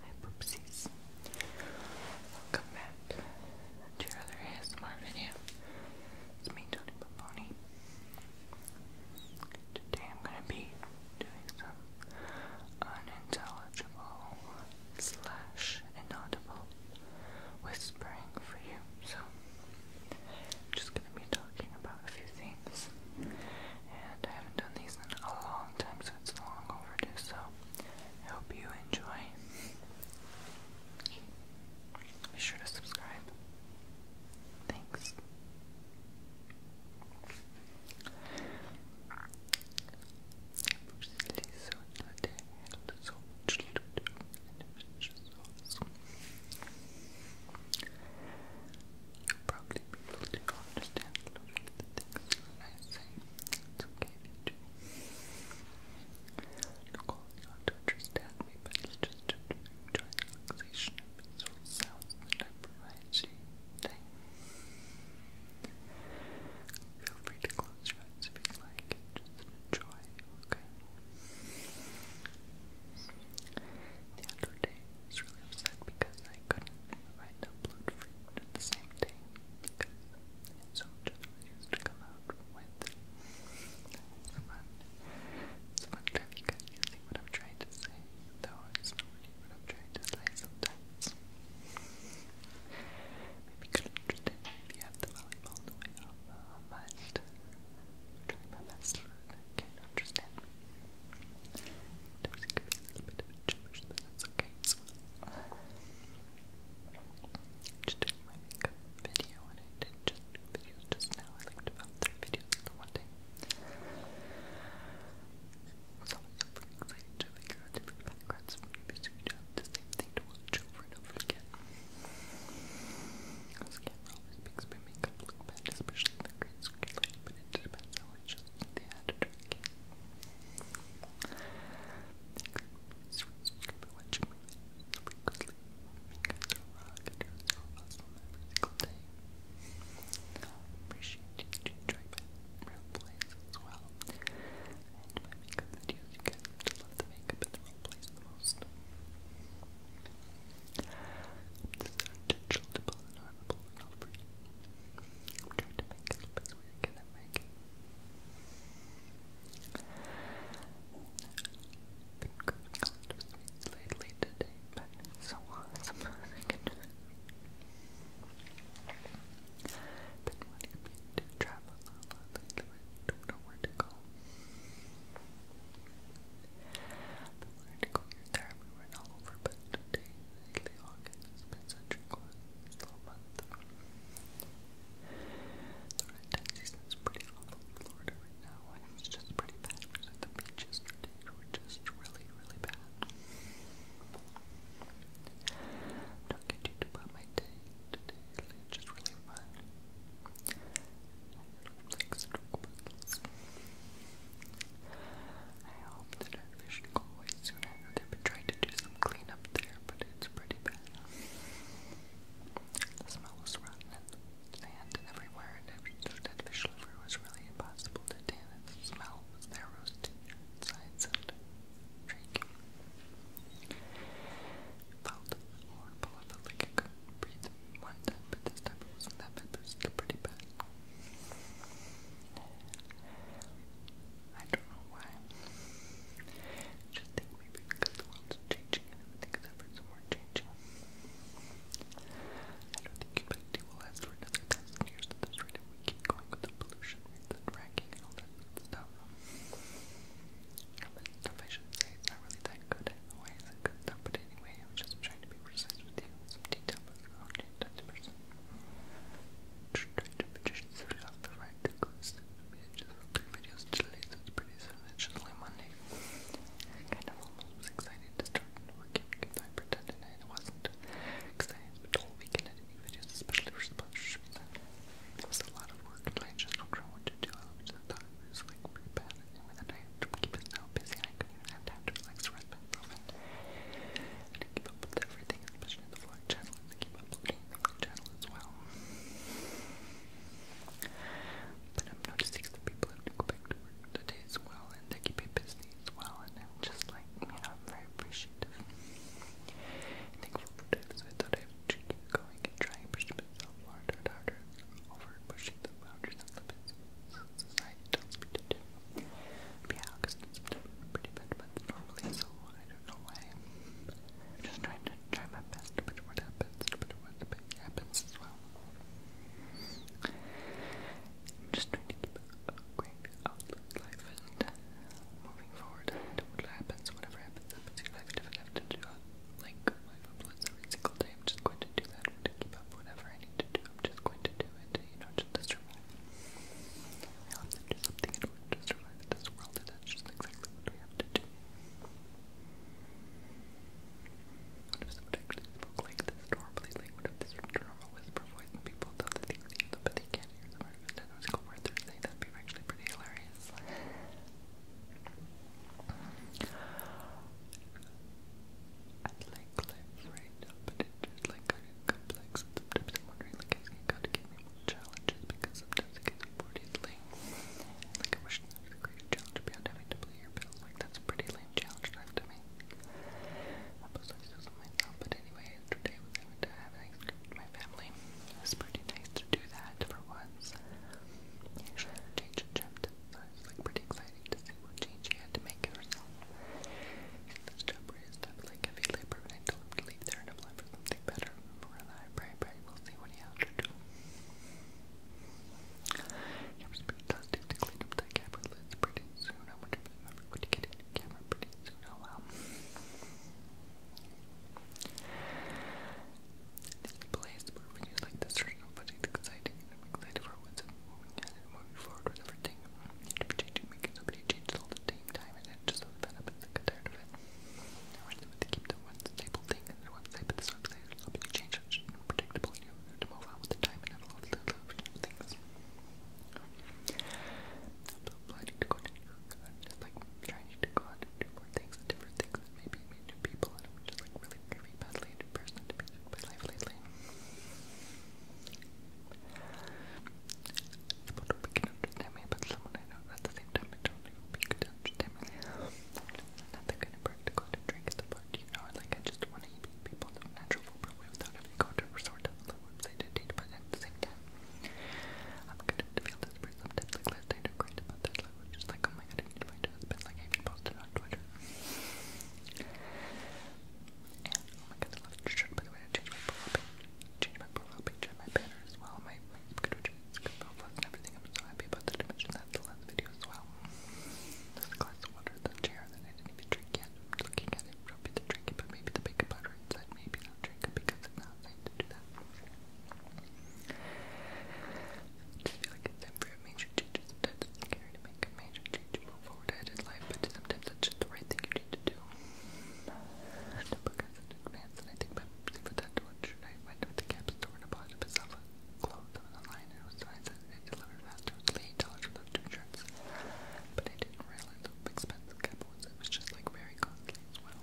Hi poopsies. Welcome back to your ASMR video. It's me, Tony Paponi. Today I'm gonna be doing some unintelligible slash inaudible whispering for you. So I'm just gonna be talking about a few things. And I haven't done these in a long time, so it's long overdue. So hope you enjoy. Be sure to subscribe. Thanks. Probably people do understand a of the things I say. It's okay if you do. Look, all you have to understand me, but just to enjoy the relaxation and peaceful sounds that I provide Feel free to close your eyes if you like just enjoy, okay? The other day, I was really upset because I couldn't write upload fruit the same day so much to come out with. It's fun. It's you guys what I'm trying to say, though it's not really what I'm trying to say sometimes. Maybe good interesting if you have the volleyball the way up, uh, but my best I can't understand a little bit of a gibberish, but that's okay Just doing my makeup video, and I did just do just now. I like about three videos in one day. So I'm pretty to figure out different backgrounds for movies so you do the same thing to watch over and over again. Because camera always makes my makeup look bad, especially the green screen but it depends how much they had to drink. Watching movies, we could sleep. Fingers are rock, and ears are awesome every single day. I appreciate you enjoying my real plays as well. And my makeup videos, you guys have love the makeup in the real plays the most unintelligible and trying to make it look as weird as been cooking a lot lately today, but so awesome Been wanting to travel a lot but don't know where to go. The word queer therapy went all over, but today, lately, August has been such a quiet, slow month. The red tide season is pretty awful in Florida right now, and just pretty bad. the beach yesterday, were just really, really bad. I'm talking to you about my day today, it's just really fun. I hope the fish go away soon. they've been to do some cleanup there, but it's pretty bad. The smell was rotten and sand everywhere, and every dead fish liver was really impossible to tan. And the their roasted insides and shaking. felt horrible. It felt couldn't breathe one time, but this time it wasn't that bad, but it's pretty bad. I don't know why. I just think maybe because the world's changing and everything is ever so more changing. I don't think humanity will last for another thousand years if we keep going with the pollution rates and fracking and all that stuff proficiency is not really that good at the way it's good but anyway, I am just trying to be precise with you some detail about your own type of person. Trying to position yourself off the right to close just three videos today, so it's pretty soon, it's just only I kind almost excited to start working because I pretended I wasn't excited, but the weekend I did videos, especially for sponsorship. It was a lot of work and I just don't know what to do. I just thought was like pretty bad at with a night keep us busy and I could even have time to relax or rest back from keep up with everything, especially the vlog channel and to keep uploading the vlog as well. But I'm noticing that people have to go back to work today as well and they keep it busy as well and I'm just like, you know, very appreciative. Thankful for that, I thought I would keep going and try and push myself harder and harder over for pushing the boundaries of the business society tells me do. But yeah, August pretty bad months normally, so I don't know why. I'm just trying to try my best, but what happens, but what happens as well. I'm just trying to keep a great outlook on life and moving forward and what happens, whatever happens, happens in your life, if I have to do like live uploads every single day. I'm just going to do that. I'm going to keep whatever I need to do. I'm just going to do it. You know, just survive. We have to do something in order to survive this world, and that's just exactly what we have to do. What if someone actually like this normally? Like, what if this normal whisper voice people thought they can't hear them? Or if they don't word that'd actually pretty hilarious. I'd like life right now, but it's just like kind of complex. sometimes I'm wondering, like, I got more challenges because sometimes it gets bored easily. Like, I wish there was a challenge beyond having to play your bills. Like, that's pretty lame challenge to have to make. I was like, but anyway, yesterday was having to have ice with my family. It pretty nice to do that for once months. He change a chapter, so like pretty exciting change she had to make herself. And this job where his stuff like heavy labor, and leave there and apply for something better. More than I pray, pray, we'll see what he has to do. It was pretty dusty to clean up that camera lens pretty soon. I wonder if I'm going to get a camera pretty soon. Oh well. This place where we use like the search but it's exciting. I'm excited for what's moving ahead and moving forward with everything. To be changing, making so many all the time, and it just so fed up and like, tired of it. I want to keep the one stable thing and the one stable this website. There's so many changes, unpredictable. You have the time and all the little things. I'm to go to New York. I'm to go lot of things, different things that maybe me new people, and I'm just like really, really badly into person to be my life lately. Someone who can understand me, but someone I know at the same time I don't even be good to understand me. Not the kind of practical to drink at the bar, you know, like I just want to eat people the natural way without having to go to resort to a website to date, but at the same time, I'm good to feel oh my god I need changed my profile picture changed my profile picture and my banner as well my, my good is good profiles and everything I'm so happy about that I mentioned that in the last video as well this glass of water the chair that I didn't even drink yet I'm looking at it probably the drinking but maybe the baking powder inside maybe not drink because it's not safe to do that I feel like it's time for a major change. Sometimes it's scary to make a major change move forward ahead in life, but sometimes that's just the right thing you need to do. The book has advance, and I think my favorite that I went with the cap store and bought a myself clothes online, and was nice that it delivered faster. It dollars for those shirts, but I didn't realize how expensive cap was. It was just like very costly as well.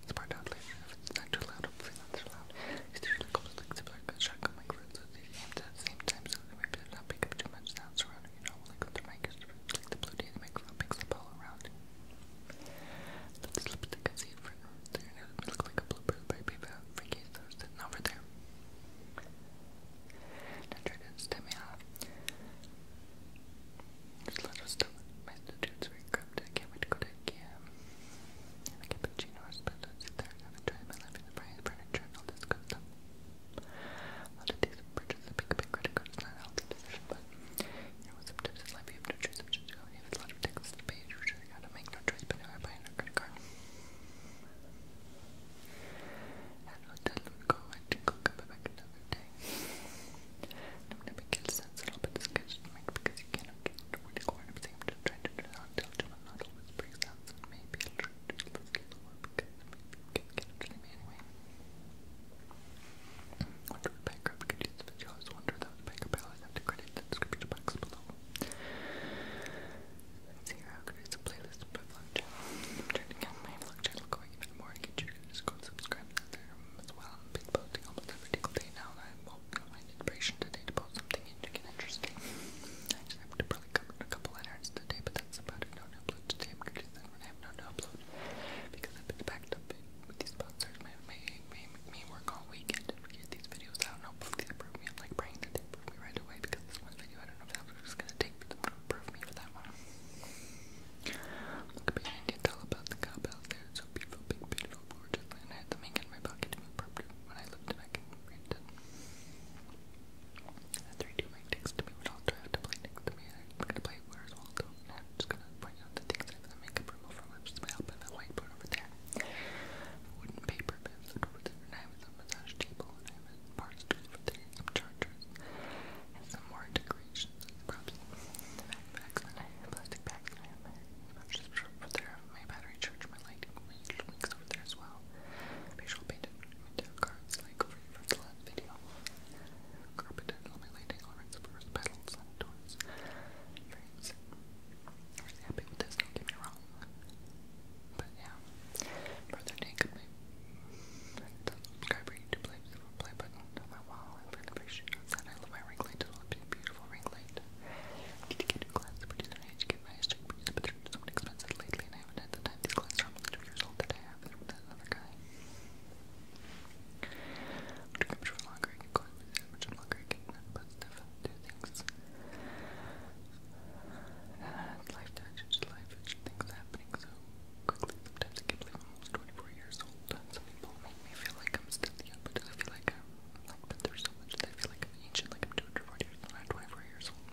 Let's find out it's not too loud, hopefully not too loud. It's usually called like similar shotgun microphones so they aimed at the same time so they might not pick up too much sound surrounding, you know, like the mic the blue day the microphone picks up all around. But this lipstick I see in front of there and like a bluebird by Beba Freaky so sitting over there. Now try to stem me a lot of My students are very can't wait to go to vacuum. I have a cappuccino or espresso sit there and have try my life in the various furniture and all this good stuff. A lot these purchases make big credit card. not healthy decision, but you know, sometimes in life you have no choice which to go. You have a lot of texts page, which you gotta make no choice, but now I buy a credit card. And hotel would go and cook up back another day. I'm going make it sense, you I'm just trying to do that until Gemini not always brings out and maybe I'll try to do a little lower because maybe you cannot really me anyway. Wonder what background could use this video. wonder that I always have to credit the box below. see how I could use playlist my vlog channel. I'm my vlog channel going even more and get you to go and subscribe there as well. i posting almost every single day now well, inspiration today to post something interesting. I just probably cover a couple letters today, but that's about it. No upload today. I'm gonna do that when I have no upload because I've been backed up with these sponsors. My made me, me work all weekend to get these videos out. And hopefully they approve me. I'm like praying that they approve me right away because this one video I don't know if that was just gonna take for them me for that one. Look behind you, tell about the cowbell there. So beautiful, big, beautiful unfortunately, and I had the mink in my pocket to move properly when I lived back in Brandon. The 3D mic next to me would also have to play next to me, and i gonna play Where's Waldo, and I'm just gonna point out the things I have the makeup from over there. Wooden paper bins over I have a massage table, I have a over there, some chargers, some more decorations, props, I have plastic bags, I'm just over there. My battery charge, my lighting, my little links over there as well. Visual painted window cards like for you from the last video. Carpeted, my lighting, all my petals, doors. Frames. I'm happy with this, don't get me wrong. But yeah, further take my subscriber YouTube play, button wall in front of her shoes, and I love my ring light. it a beautiful ring light. Need to get new glasses pretty soon. I need get my straight pretty but they're expensive lately, and I haven't had the time. These glasses are two years old that I have. They're from that other guy. Which much for longer can go on with it, longer can put stuff do things. life touches, life, things happening so quickly. Sometimes I can't believe almost 24 years old. Some people make me feel like I'm still young, but I feel like I'm like, but there's so much that I feel like I'm ancient, like I'm 240 years old, I'm 24 years old.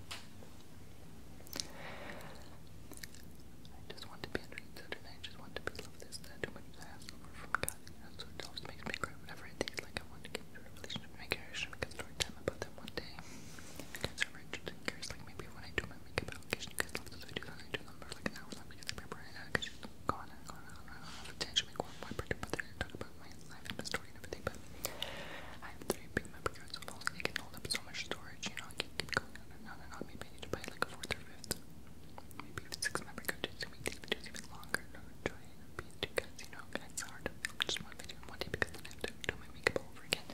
I just want to be understood and I just want to be loved. This, that, too much I ask over from God. That's what always makes me cry whenever I think like I want to get into a relationship and make a make a story time about them one day. If you guys are interested and curious, like maybe when I do my makeup application, you guys love those videos and I do them for like an hour long because I prepare an hour uh, because go on go on go on. I don't have the but they're talking about my life and my story and everything. But I have three big memory cards so only can hold up so much storage. You know, I can keep going on and on and on. Maybe I need to buy like a fourth or maybe even six memory cards to make these videos even longer. No, enjoy and be because you know it's hard just one video one day because I have to do my makeup all over again.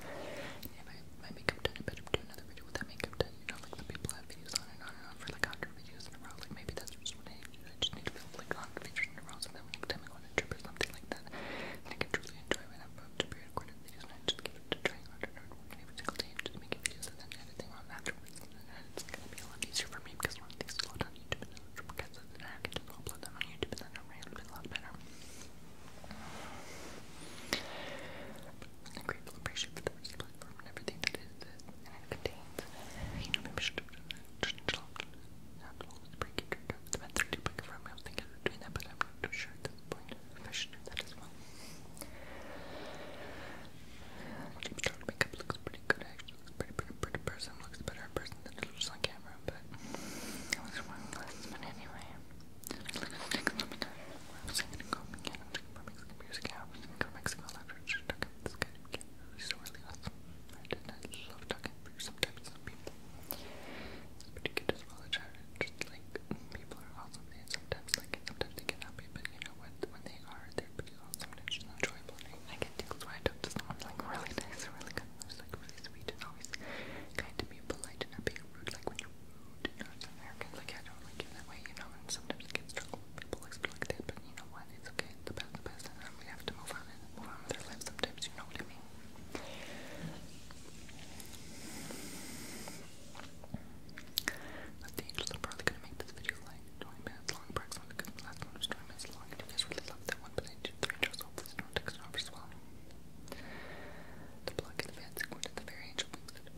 And if I my makeup done, I better do another video with makeup done you know, like the people have views on and on and for like 100 videos in a row. Like maybe that's just what I need I just need to build like 100 videos in a row so that next time go on a trip or something like that, I can truly enjoy when I'm about to be videos and I just keep trying harder and working every single day and just making videos and then editing on afterwards. And it's gonna be a lot easier for me because one of these load on YouTube and then because then I can just upload them on YouTube and then I'm really a lot better. I'm grateful and for the platform and everything that it is and it contains. You know, maybe I should have done that. break it the method to pick from. I was thinking of doing that, but I'm not too sure at this point I should do that as well. Deep dark makeup looks pretty good actually. Looks pretty, pretty, pretty person. Looks better person than it on camera, but I was wearing glasses, but anyway. I'm just gonna go again from Mexican music app. Go Mexico after Tuck This guy became really, really awesome. I did love Tuck sometimes some people. It's pretty good as well. just like, people are awesome. They sometimes like sometimes they get happy, but you know what? When they are, they're pretty awesome and just enjoyable. I get tingles when I talk to someone like really nice really good. like really sweet and always kind to be polite and not being rude. Like when you you know, it's American, like, I don't that way, you know, and sometimes I get struggle people like, like that, but you know what, it's okay, it's the past, the past, and we have to move on and move on with our lives sometimes, you know what I mean? the angels, i probably gonna make this video like 20 minutes long, approximately, because the last one was 20 minutes long, and you guys really loved that one, but I did three angels, hopefully, I not take it off as well. The plug in the fancy one at the very angel wings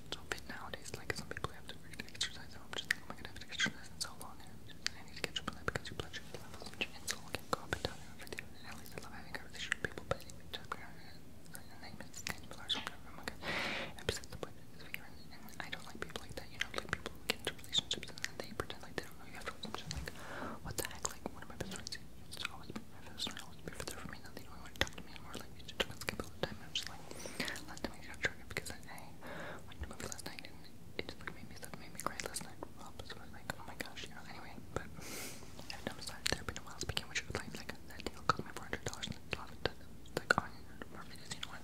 stupid nowadays. Like some people have to exercise, and I'm just like, am oh I gonna have to exercise in so long? I need to catch up because your blood sugar I love having conversations with people, but if you oh I'm like, I'm besides the point of this video. I don't like people like that, you know, like people who get into relationships and then they pretend like they don't you afterwards. I'm like, what the heck? Like, one of my best friends used always be my best friend, always be there for me, now they don't want to talk to me anymore like you just skip all the time. I'm just like, last time I got triggered because I watched a movie last night and it just made me stuff, made me cry last night. Rob was like, oh my gosh, you know. Anyway, but I've done massage therapy in a while. Speaking which, like, like that deal cost me four hundred dollars it's like on more videos. You know what?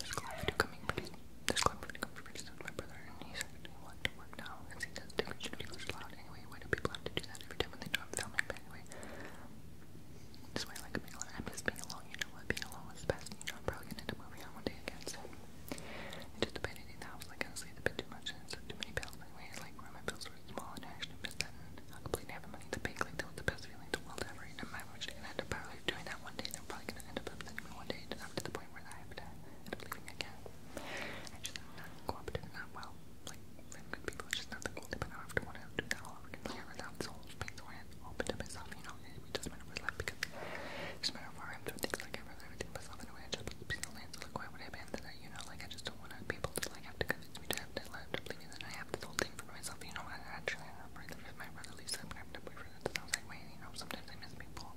There's a video coming pretty. There's a coming pretty My brother and he said he to work now because he does different videos loud. Anyway, why do people have to do that every time when they know I'm filming? But anyway. Just wear like a big one. I'm just being alone, you know what? Being alone was the best. You know, I'm probably gonna end up moving out one day again, so. I just debated in the house, like, I sleep a bit too much and took too many pills. Like, wait, like, where my pills were small and I actually missed that. And I completely have the money to pay. Like, that was the best feeling in the world ever. And I'm actually gonna end up probably doing that one day. And I'm probably gonna end up upsetting me one day. And I'm to the point where I have to end up leaving again. I just am not cooperative, not well. Like, and people are just not the goalie, but now after one out, two now, and player without soul, paint the way and opened up himself, you know, and it doesn't matter what his because it doesn't matter where i I rather everything myself in I just put the piece of land, so like why would I abandon that, you know, like I just don't want people to like have to convince me to have that left or believe that I have this whole thing for myself, you know, I actually I'm afraid that if my brother leaves I'm gonna have to boyfriend and I was like, wait, you know, sometimes I miss people,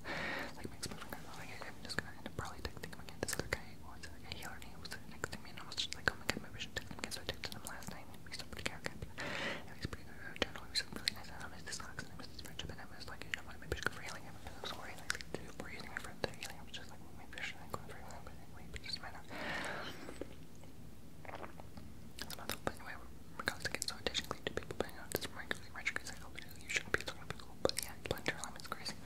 like my ex like I'm just gonna end up probably texting him again, this other guy was and he already was next to I was just like, oh my god, maybe I should So I texted him last night, and he's still And he's pretty good. Generally, he was really nice, and I miss this class, and I miss this friendship, and I was like, you know what, I should go for healing. I was worried, like, dude, we using my friend to healing. I was just like, well, maybe I shouldn't go for healing, but anyway, but it doesn't matter. It's not but anyway, we're going to get so technically two people, but this regularly retrograde cycle, you shouldn't be talking to people, but yeah, blender is crazy.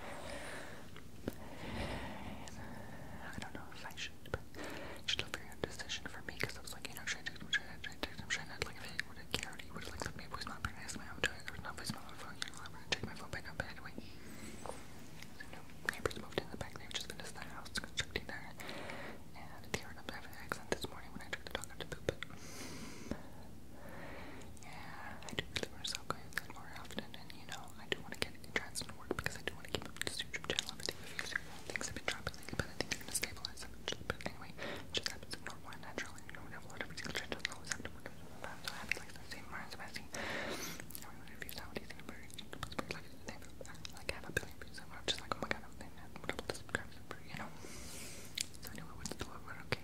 I don't know if I should, but it's just a weird decision for me because I was like, you know, should I text him? Should I text him? Should I not? Like, if I would have cared, he would have, like, left me a voicemail and asked me how i was no voicemail my phone, you know, I'm gonna take my phone back up, anyway. no, neighbors moved in the back, they've just been to the house, constructing there. And they were not having an accident this morning when I took the dog out to poop, Yeah, I do really want to stop going more often, and you know, well. I do want to get Transcend to work because I do want to keep up this YouTube channel. Everything reviews things have been dropping lately, but I think they're gonna stabilize them. But anyway, it just happens to more one naturally. You know, we have a lot of single channel doesn't always have to work out. So I have like the same Ryan Sebastian. Everyone reviews how do you think about it? Like they like have a billion views and I'm just like, oh my god, I'm thinking double the subscribers you know. So anyway, what's the what okay?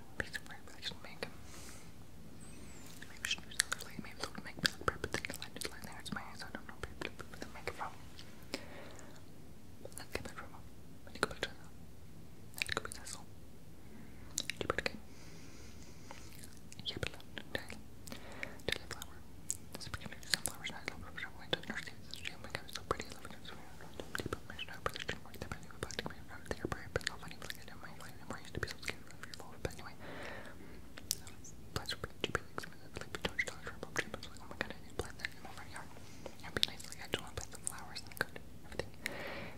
action. Piece of crap action Maybe I should use the overlay. Maybe that would make me look proper than the there. It's my eyes. I don't know where the microphone. Let's get back from up. I go back that. I need to go back to that song. You put again. Yeah, but Daily. Daily flower. This particular sunflower's not a little bit of a window. Nursing this dream. My God, it's so pretty. I love it. I'm so very random. Deep up my snow. But there's two more. They're my new plastic. My favorite. They're brave. But I did my my memory used to be so scared of your phone, but anyway. plants were pretty cheap, like, like, we oh my god, I need to in my front yard. it nice, like, I don't want to plant the flowers and good everything.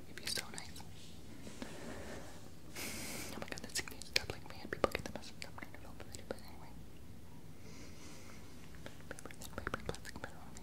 It'd be so nice. Oh my god, that thing needs to stop, like, man, people get the message of help anyway.